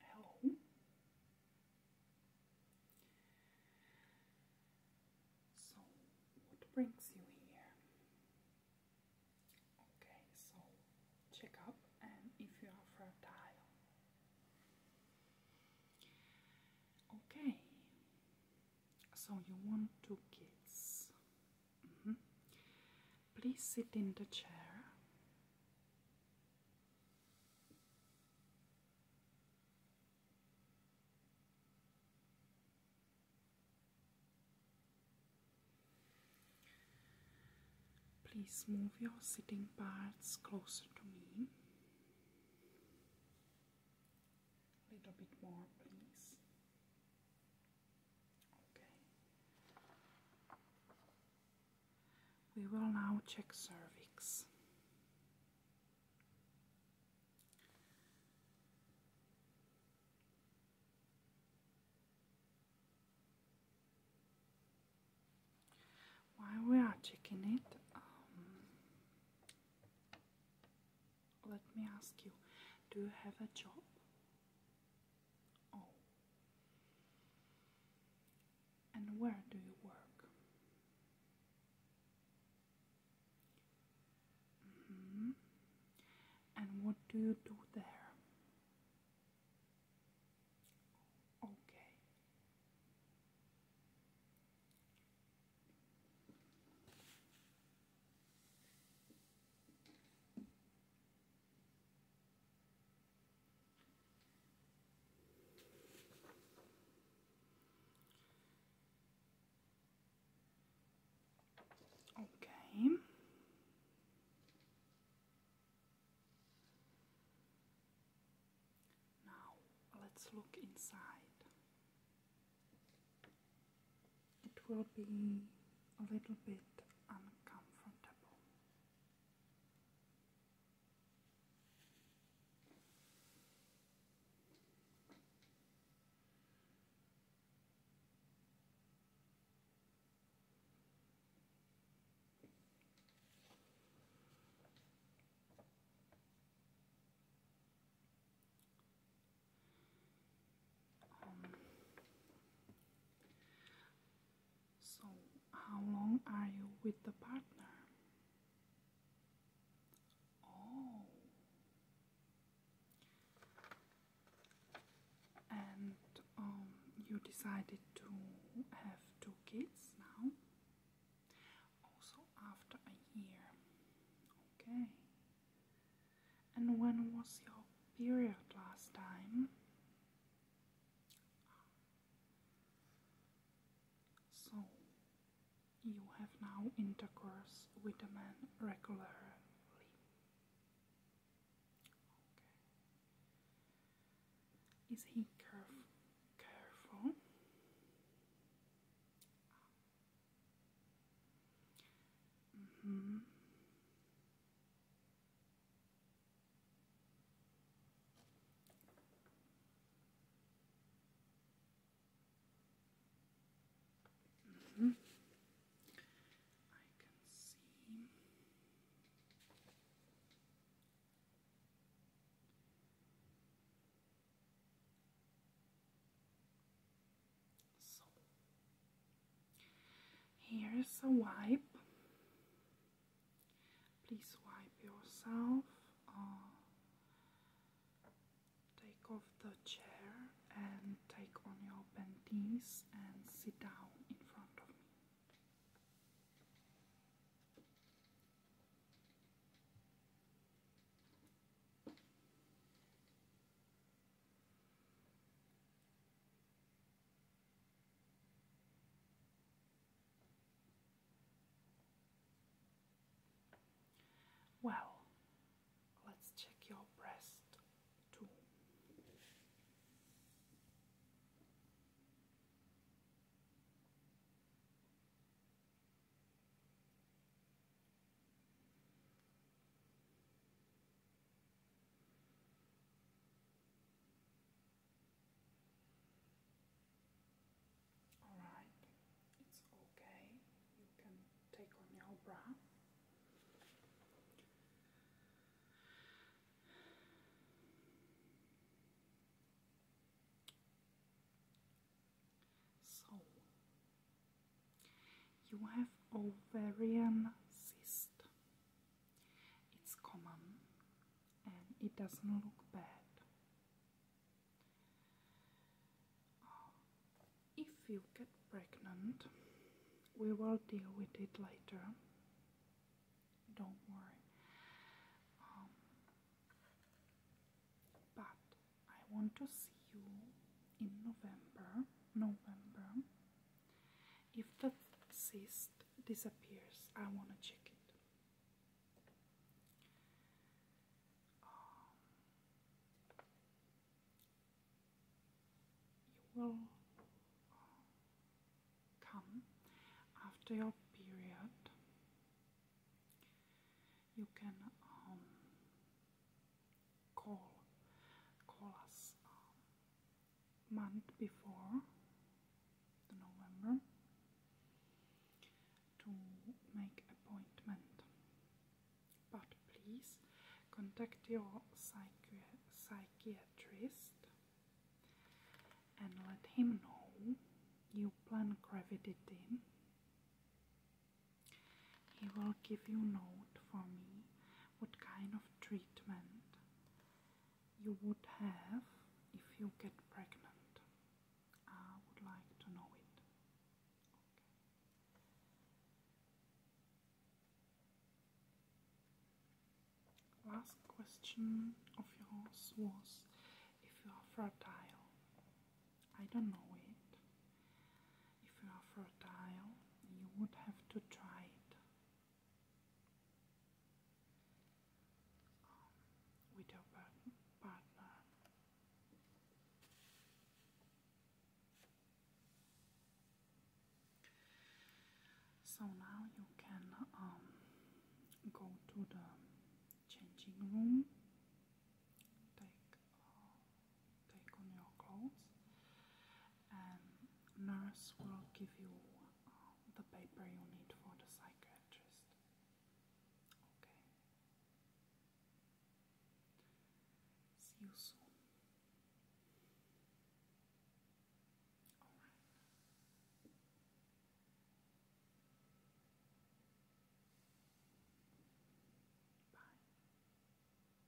Hello. So, what brings you here? Okay, so check up and if you are fertile. Okay, so you want two kids. Mm-hmm. Please sit in the chair. Please move your sitting parts closer to me. A little bit more, please. We will now check cervix. While we are checking it, um, let me ask you, do you have a job? Oh. And where do you work? Mm-hmm. And what do you do there? Okay. Okay. Now let's look inside it will be a little bit uncomfortable so, how long are you with the partner? Oh, and um, you decided to have two kids now, also after a year. Okay, and when was your period last time? So, you have now intercourse with a man regularly. Is he careful? Careful. -hmm. Mm -hmm. I can see here's a wipe. Please wipe yourself. Uh, take off the chair and take on your panties and sit down in front of me. Well, let's check your breast too. Alright, it's okay. You can take on your bra. So, you have ovarian cyst. It's common and it doesn't look bad. Uh, if you get pregnant, we will deal with it later. Don't worry. Um, but I want to see you in November. November if the cyst disappears, I want to check it. Um, you will uh, come after your period. You can um, call call us um, month before the November to make appointment. But please contact your psychiatrist and let him know you plan gravity team. He will give you note for me what kind of treatment you would have if you get pregnant. I would like to know it. Last question of yours was if you are fertile. I don't know it. If you are fertile, you would have to try it. Um, with your partner. So now you can um, go to the changing room, uh, take on your clothes and um, nurse will give you uh, the paper you need for the psychiatrist okay see you soon bye